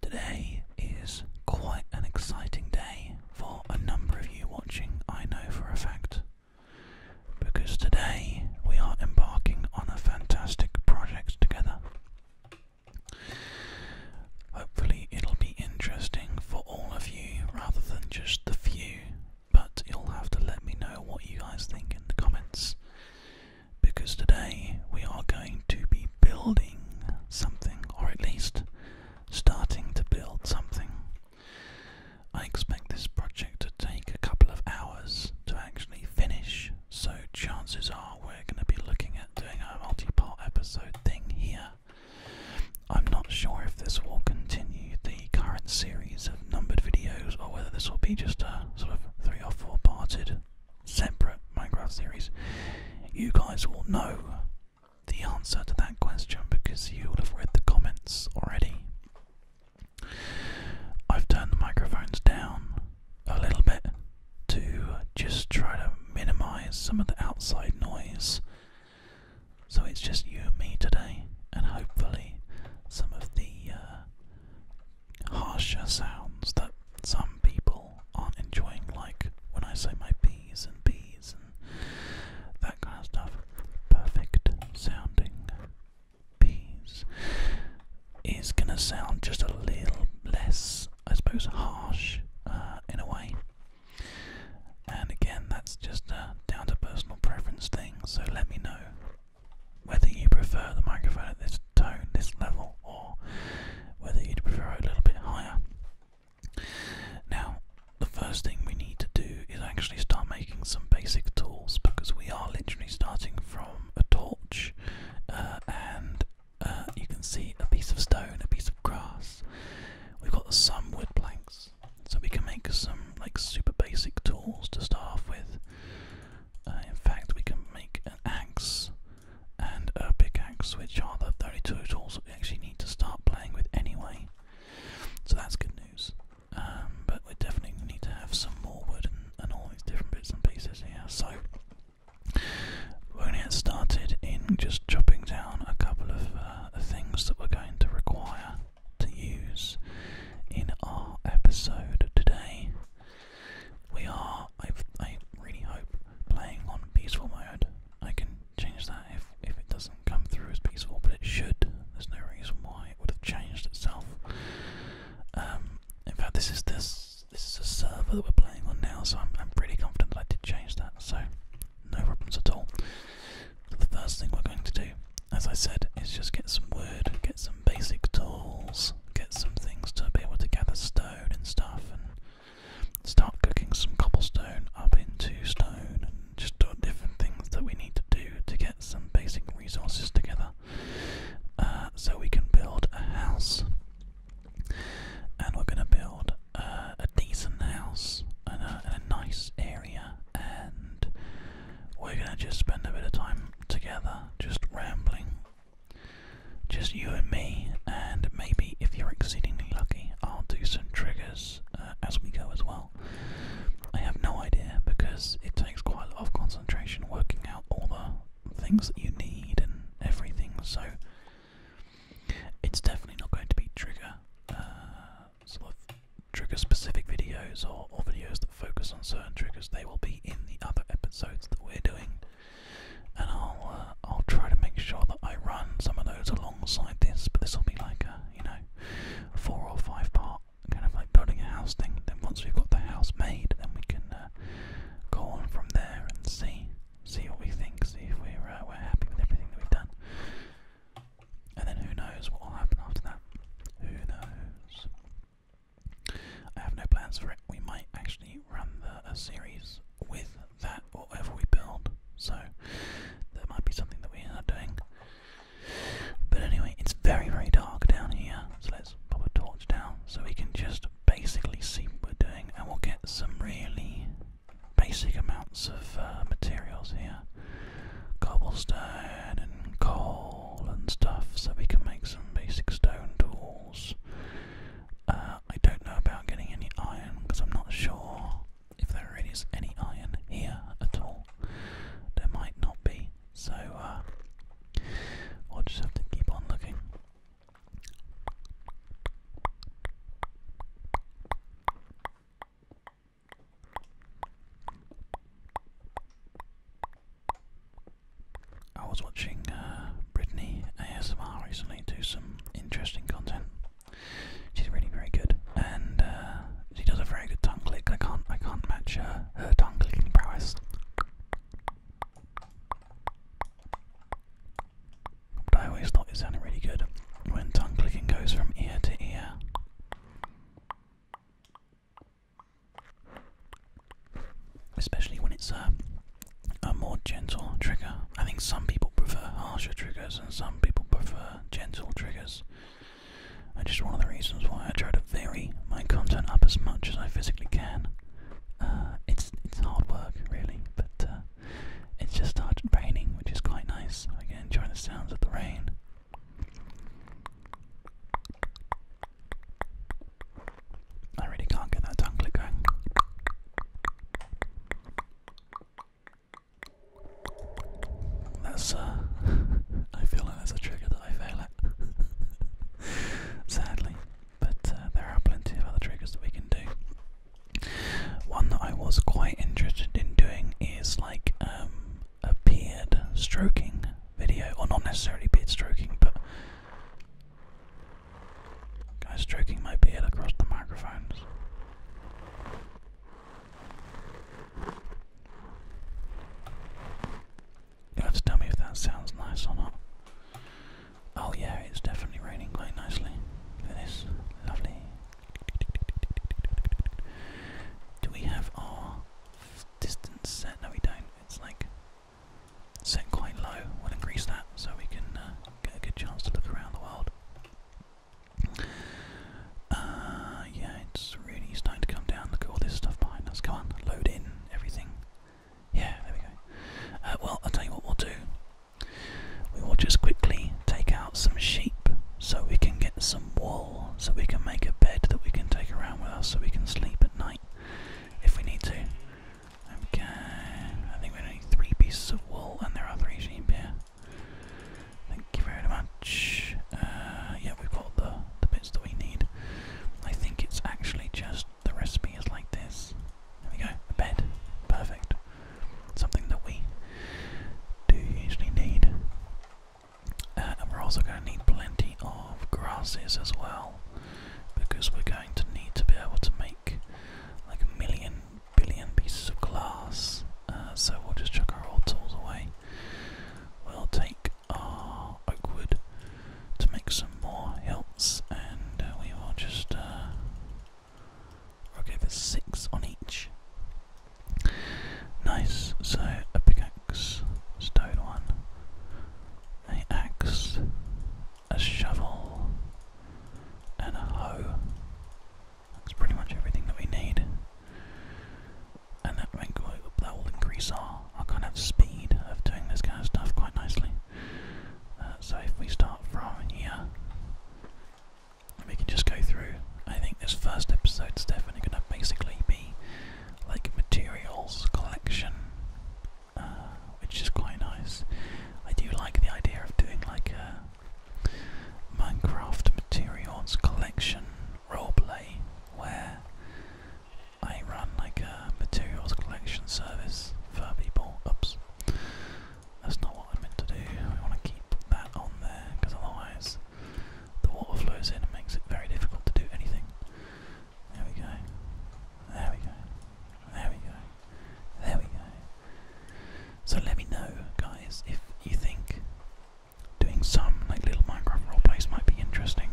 Today is quite an exciting day for a number of you watching, I know for a fact, because today we are embarking on a fantastic project together. Hopefully, it'll be interesting for all of you rather than just the few, but you'll have to let me know what you guys think in the comments. Because today we are going to be building something, or at least starting to build something. I expect this project to take a couple of hours to actually finish, so chances are we're going to be looking at doing a multi part episode thing here. I'm not sure if this will continue the current series of numbered videos or whether this will be just a sort of three or four parted separate Minecraft series. You guys will know the answer to that question because you will have read the comments already. I've turned the microphones down a little bit to just try to minimize some of the outside noise. So it's just you and me today, and hopefully some of the uh, harsher sounds that some people people aren't enjoying, like when I say my Bs and B's and that kind of stuff. Perfect sounding P's is gonna sound just a little less, I suppose, harsh uh, in a way. And again, that's just a down to personal preference thing, so let me know whether you prefer the microphone at this tone, this level, or whether you'd prefer it a little bit higher. Now, the first thing we need to do is actually start making some basic tools because we are literally starting from a torch uh, and uh, you can see a piece of stone, a piece of grass. We've got some wood planks, so we can make some like super basic tools to start off with. Uh, in fact, we can make an axe and a pickaxe, which are the very two tools that we actually need to start playing with anyway. So that's good news. Um, but we definitely need to have some more wood and, all these different bits and pieces here. So we're going to get started in just chopping down a couple of uh, things that we're going to require to use in our episode today. We are, I really hope, playing on peaceful mode I can change that if, if it doesn't come through as peaceful, but it should. There's no reason why it would have changed itself. Um, in fact, this is this this is a server that we're playing on now, so I'm I'm pretty confident that I did change that. So no problems at all. the first thing we're going to do, as I said, is just get some wood, get some basic tools, get some things to be able to gather stone and stuff, and start cooking some cobblestone up into stone and just do different things that we need to do to get some basic resources together uh, so we can build a house. And we're going to build uh, a decent house in in a nice area and we're going to just spend a bit of time together just rambling. Just you and me and maybe if you're exceedingly lucky, I'll do some triggers uh, as we go as well. I have no idea because it takes quite a lot of concentration working out all the things that you need and everything, so it's definitely not going to be trigger uh, sort of trigger specific videos or videos that focus on certain triggers. They will be in the other episodes that we're doing and I'll uh, I'll try to make sure that I run some of those alongside this. But this will be like a you know four or five part kind of like building a house thing. Then once we've got the house made, then we can uh, go on from there and see see what we think, see if we're uh, we're happy with everything that we've done. And then who knows what will happen after that? Who knows? I have no plans for it. We might actually run a series with that or whatever we build. So that might be something that we are doing. But anyway, it's very, very dark down here, so let's pop a torch down so we can just basically see what we're doing, and we'll get some really basic amounts of uh, materials here cobblestone and coal and stuff, so we can make some basic stone tools uh, I don't know about getting any iron because I'm not sure if there really is any iron here at all. There might not be, so I'll uh, just have to keep on looking. I was watching uh, Brittany ASMR recently do some interesting content. She's really very good, and uh, she does a very good tongue click. I can't I can't match her, tongue clicking prowess. But I always thought it sounded really good when tongue clicking goes from ear to ear. Especially when it's uh, a more gentle trigger. I think some people prefer harsher triggers and some people prefer gentle triggers. And just one of the reasons why I try to vary my content up as much as I physically can. Uh, it's it's hard work really, but uh, it's just started raining, which is quite nice. I can enjoy the sounds of the rain. I really can't get that tongue click going. That's uh, I feel like that's a trigger that I fail at, sadly. But uh, there are plenty of other triggers that we can do. One that I was quite interested in doing is like um, a beard stroking video, or not necessarily beard stroking, but Guy stroking my beard across the microphones. you have to tell me if that sounds nice or not. Oh yeah, it's definitely raining quite nicely. It is lovely. Do we have our distance set? No, we don't. It's like set quite low. We'll increase that so we can uh, get a good chance to look around the world. Uh, yeah, it's really starting to come down. Look at all this stuff behind us. Come on, load in everything. Yeah, there we go. Uh, well, I'll tell you what we'll do. We will just quickly take out some sheep so we can get some wool, so we can make a bed that we can take around with us so we can sleep at night if we need to. Okay, I think we need three pieces of wool and there are three sheep here. Thank you very much. Uh, yeah, we've got the, the bits that we need. I think it's actually just the recipe is like this. There we go, bed. Perfect. Something that we do usually need. Uh, and we're also going to need plenty of grasses as well, because we're going to need to be able to make like a million billion pieces of glass. Uh, so we'll just chuck our old tools away. We'll take our oak wood to make some more hilts, and uh, we will just. Uh, i six on each. Nice, so a pickaxe, stone one, an axe, a shovel, and a hoe. That's pretty much everything that we need. And that, that will increase our, our kind of speed of doing this kind of stuff quite nicely. Uh, so if we start from here, we can just go through. I think this first episode is definitely going to basically be like materials collection, uh, which is quite nice. I do like the idea of doing like a uh, Minecraft materials collection roleplay where I run like a materials collection service for people. Oops, that's not what I meant to do. We want to keep that on there because otherwise the water flows in and makes it very difficult to do anything. There we go. There we go. There we go. There we go. So let me know, guys, if you think doing some like little Minecraft roleplays might be interesting.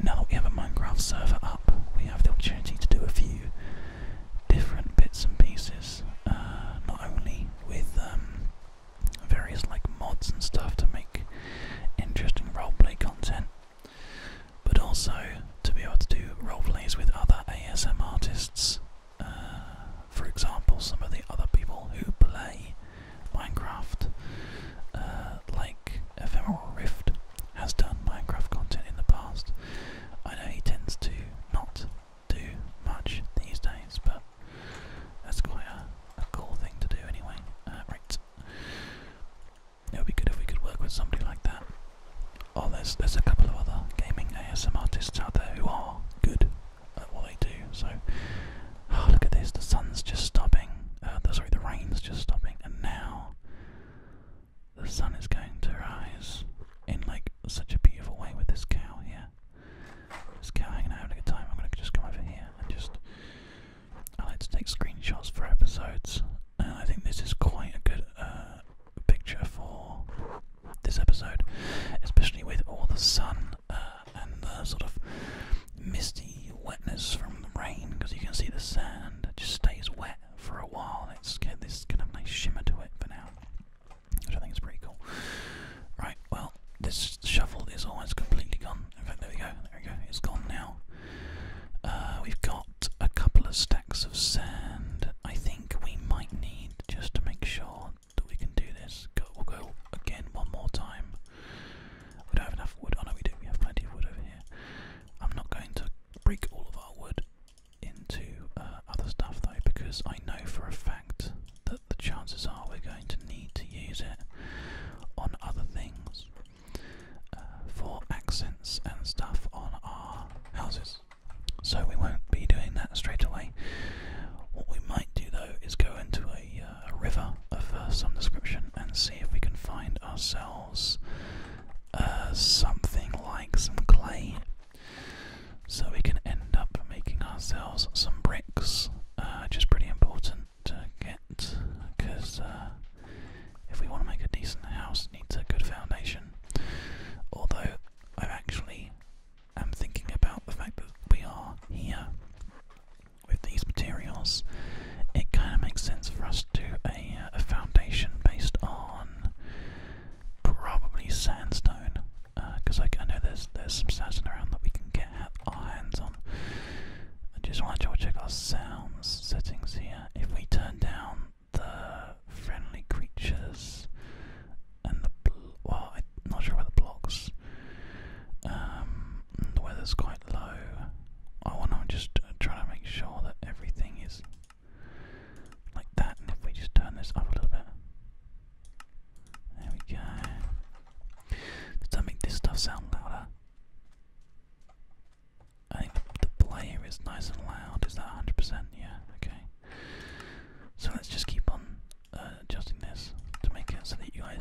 Now we have a Minecraft server up, we have the opportunity to do a few different bits and pieces, uh, not only with um, various like mods and stuff to make interesting roleplay content, but also to be able to do roleplays with other ASM artists uh, for example, some of the other people who play Minecraft, uh, like Ephemeral Rift, has done Minecraft content in the past. I know he tends to not do much these days, but that's quite a, cool thing to do anyway. Uh, right. It would be good if we could work with somebody like that. Oh, there's there's a couple of other gaming ASM artists out there who are good at what they do. So, oh, look at this. The sun's just stopping. Uh, the, sorry, the rain's just stopping, and now the sun is going to rise in like such a beautiful way with this cow here. This cow hanging out, having a good time. I'm gonna just come over here and just. I like to take screenshots for episodes, and I think this is quite a good uh, picture for this episode, especially with all the sun uh, and the sort of misty wetness from the rain, because you can see the sand it just stays wet for a while. It's got this kind of nice shimmer to it for now, which I think is pretty cool. Right, well, this shovel is almost completely gone. Okay, there we go, there we go, it's gone now. Uh, we've got a couple of stacks of sand. I think we might need, just to make sure that we can do this, go, we'll go again one more time. We don't have enough wood. Oh no, we do. We have plenty of wood over here. I'm not going to break all of our wood into uh, other stuff though, because I know for a fact that the chances are we're going to need to use it on other things uh, for accents and stuff on our houses. So we won't be doing that straight away. What we might do though is go into a, uh, river of uh, some description and see if we can find ourselves uh, something like some clay. So we can end up making ourselves some bricks, uh, which is pretty important to get because if we want to make a decent house, it needs a good foundation. Although I've actually i am thinking about the fact that we are here with these materials, it kind of makes sense for us to do a, uh, a foundation based on probably sandstone, because uh, I, I know there's there's some sandstone around that we can get our hands on. I just want to double check our sounds settings here. If we turn down the friendly creatures and the well, I'm not sure where the blocks. Um, the weather's quite low. I want to just uh, try to make sure that everything is like that. And if we just turn this up a little bit, there we go. Does that make this stuff sound louder? I think the player is nice and loud. Is that 100%? Yeah, okay. So let's just keep on uh, adjusting this to make it so that you guys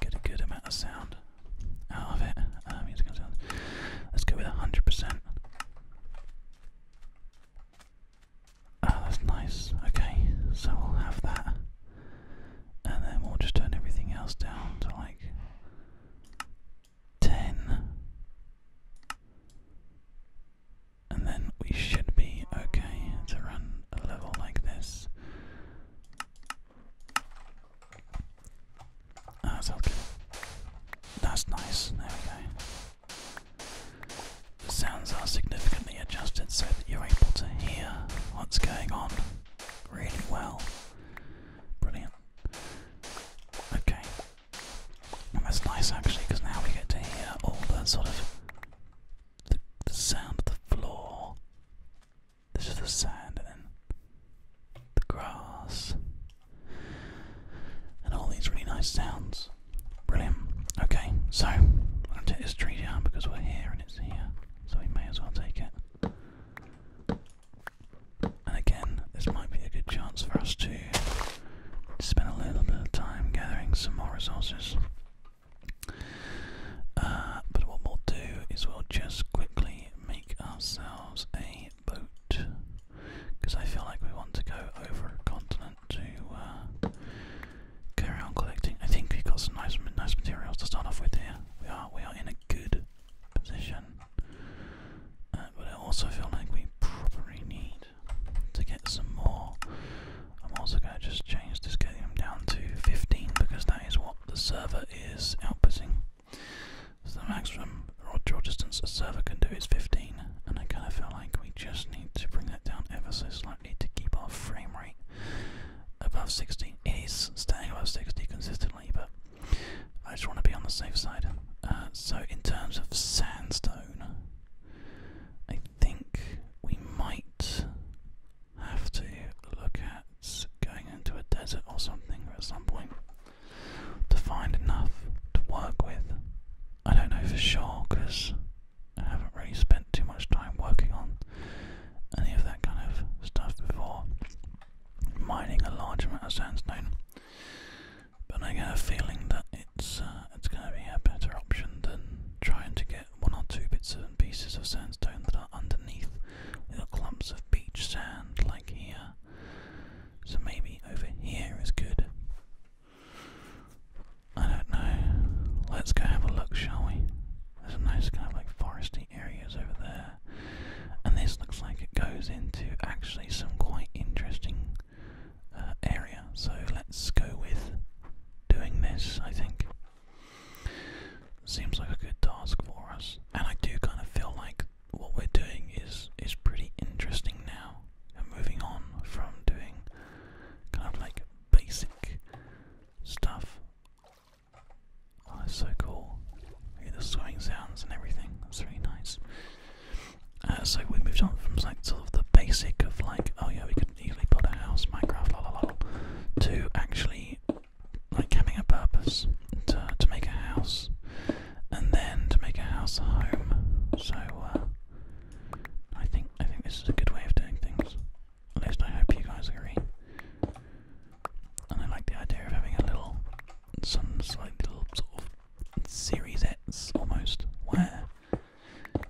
get a good amount of sound out of it. Uh, let's go with 100%. Ah, that's nice. Okay, so we'll have that. And then we'll just turn everything else down to like 10. And then we should be okay to run a level like this. Oh, ah, that's, that's nice. There we go. The sounds are significantly adjusted so that you're able to hear what's going on really well. Brilliant. Okay, and that's nice actually, because now we get to hear all the sort of the, sound of the floor. This is the sand, and then the grass, and all these really nice sounds. Brilliant. Okay, so I'm gonna take this tree down because we're here and it's here, so we may as well take it. And again, this might be a good chance for us to spend a little bit of time gathering some more resources. Uh, but what we'll do is we'll just quickly make ourselves a boat. Because I feel like we want to go over a continent to carry uh, on collecting. I think we've got some nice, nice materials to start off with here. We are, we are in a good position. Uh, but I also feel like we probably need to get some more. I'm also going to just change this them down to 15 because that is what the server is outputting. So the maximum raw draw distance a server can do is 15, and I kind of feel like we just need to bring that down ever so slightly to keep our frame rate above 60. It is staying above 60 consistently, but I just want to be on the safe side. Uh, so in terms of sandstone zone. I think we might have to look at going into a desert or something at some point to find enough to work with. I don't know for sure because I haven't really spent too much time working on any of that kind of stuff before. Mining a large amount of sandstone. But I get a feeling that it's uh, it's going to be a better option than trying to get one or two bits and pieces of sandstone that are underneath little clumps of beach sand like here. So maybe over here is good. I don't know. Let's go have a look, shall we? There's a nice kind of like foresty areas over there. And this looks like it goes into actually some quite interesting uh, area. So let's go with doing this, I think. Seems like a good task for us. And I do kind of feel like what we're doing is is pretty interesting now. And moving on from doing kind of like basic stuff. Oh, that's so cool. Hear the swimming sounds and everything. That's nice. Uh, so we moved on from like sort of the basic of like, oh yeah, we could easily build a house, Minecraft, la la la, to actually like having a purpose to to make a house, and then to make a house a home. So uh, I think I think this is a good way of doing things. At least I hope you guys agree. And I like the idea of having a little, some like little sort of Series X almost, where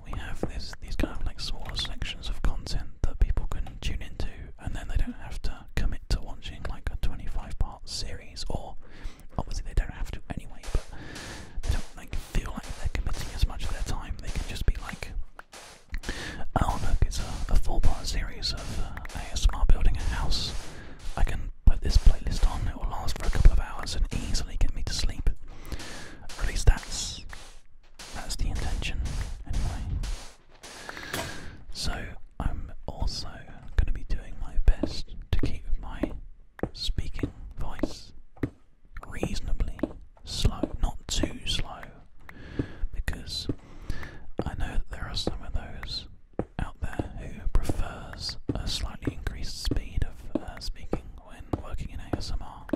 we have this these kind of like smaller sections of content that people can tune into, and then they don't have to commit to watching like a 25 part series, or obviously they don't have to anyway, but they don't like feel like they're committing as much of their time. They can just be like, oh look, it's a, a full part series of uh, ASMR building a house. I can put this playlist on, it will last for a couple of hours and easily get me to sleep. at least that's that's the intention anyway. So I'm also gonna be doing my best to keep my speaking voice reasonably slow, not too slow, because I know that there are some of those there who prefers a slightly increased speed of uh, speaking when working in ASMR.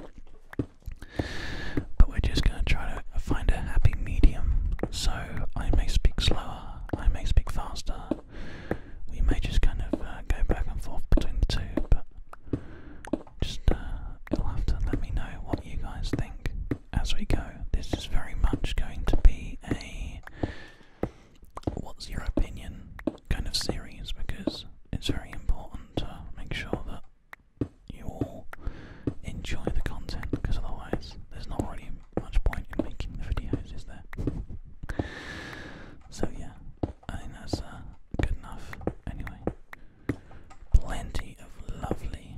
But we're just going to try to find a happy medium. So I may speak slower, I may speak faster. We may just kind of uh, go back and forth between the two, but just uh, you'll have to let me know what you guys think as we go. This is very much going to be a what's your opinion kind of series because it's very important to make sure that you all enjoy the content because otherwise there's not really much point in making the videos, is there? So yeah, I think that's uh, good enough. Anyway, plenty of lovely,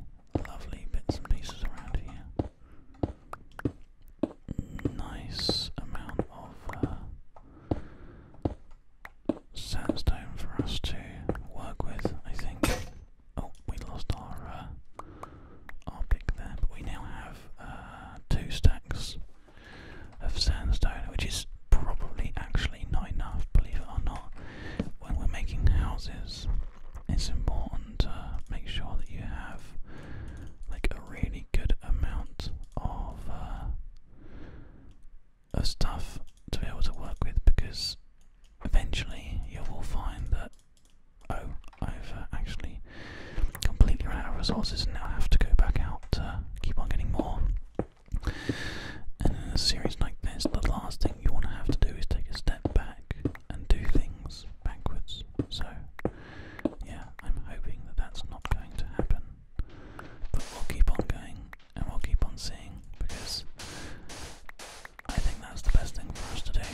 lovely bits and pieces around here nice amount of uh, sandstone for us to work with, I think. Oh, we lost our uh, our pick there, but we now have uh, two stacks of sandstone, which is probably actually not enough, believe it or not. When we're making houses, it's important to make sure that you have like a really good amount of, uh, of stuff to be able to work with because eventually you will find that, oh, I've uh, actually completely run out of resources and now I have to go back out to keep on getting more. And in a series like this, the last thing you want to have to do is take a step back and do things backwards. So, yeah, I'm hoping that that's not going to happen. But we'll keep on going and we'll keep on seeing because I think that's the best thing for us to do.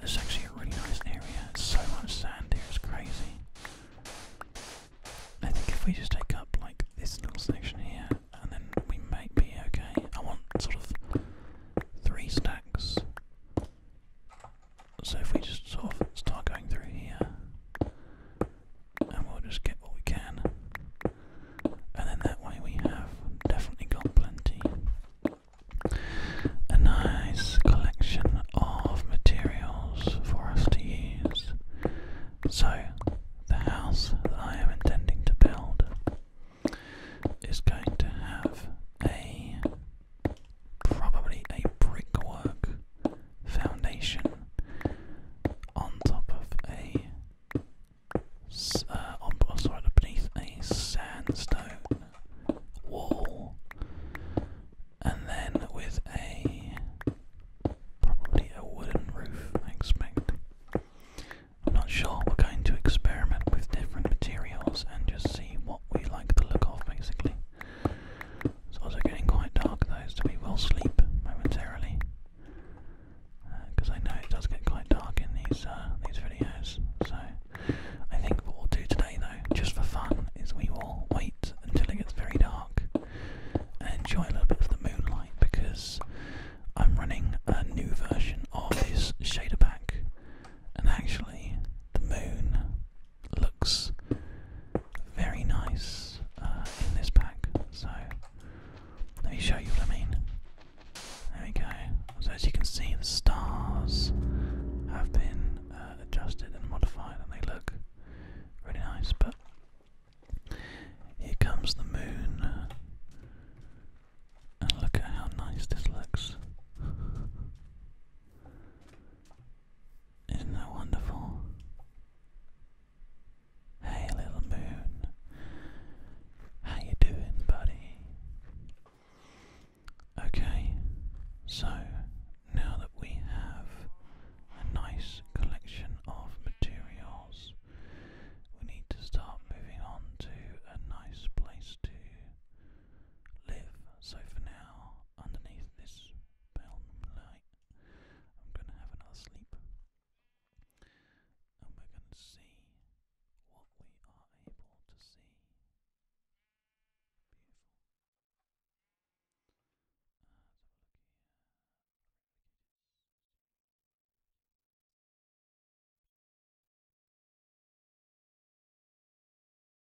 This is actually a really nice area. It's so much sand here, it's crazy. I think if we just take up like this little section here, and then we might be okay. I want sort of three stacks so if we just sort of start going through here, and we'll just get what we can, and then that way we have definitely got plenty. A nice collection of materials for us to use. So, the house that I am intending to build is going to have a probably a brickwork foundation on top of a. Uh, on, oh, sorry, beneath a sandstone wall, and then with a probably a wooden roof. I expect. I'm not sure. We're going to experiment with different materials and just see what we like the look of, basically. It's also getting quite dark though, so we will sleep momentarily. Because uh, I know it does get quite dark in these uh, these videos. So I think what we'll do today though, just for fun, is we will wait until it gets very dark and enjoy a little bit of the moonlight because I'm running a new version of this shader pack. And actually, the moon looks very nice uh, in this pack. So let me show you what I mean. There we go. So as you can see, the stars have been uh, adjusted and modified, and they look really nice. But here comes the moon, and look at how nice this looks. Isn't that wonderful? Hey little moon. How you doing, buddy? Okay, so now that we have a nice collection of materials, we need to start moving on to a nice place to live. So for now, underneath this pale moonlight, I'm going to have another sleep. And we're going to see what we are able to see. Beautiful.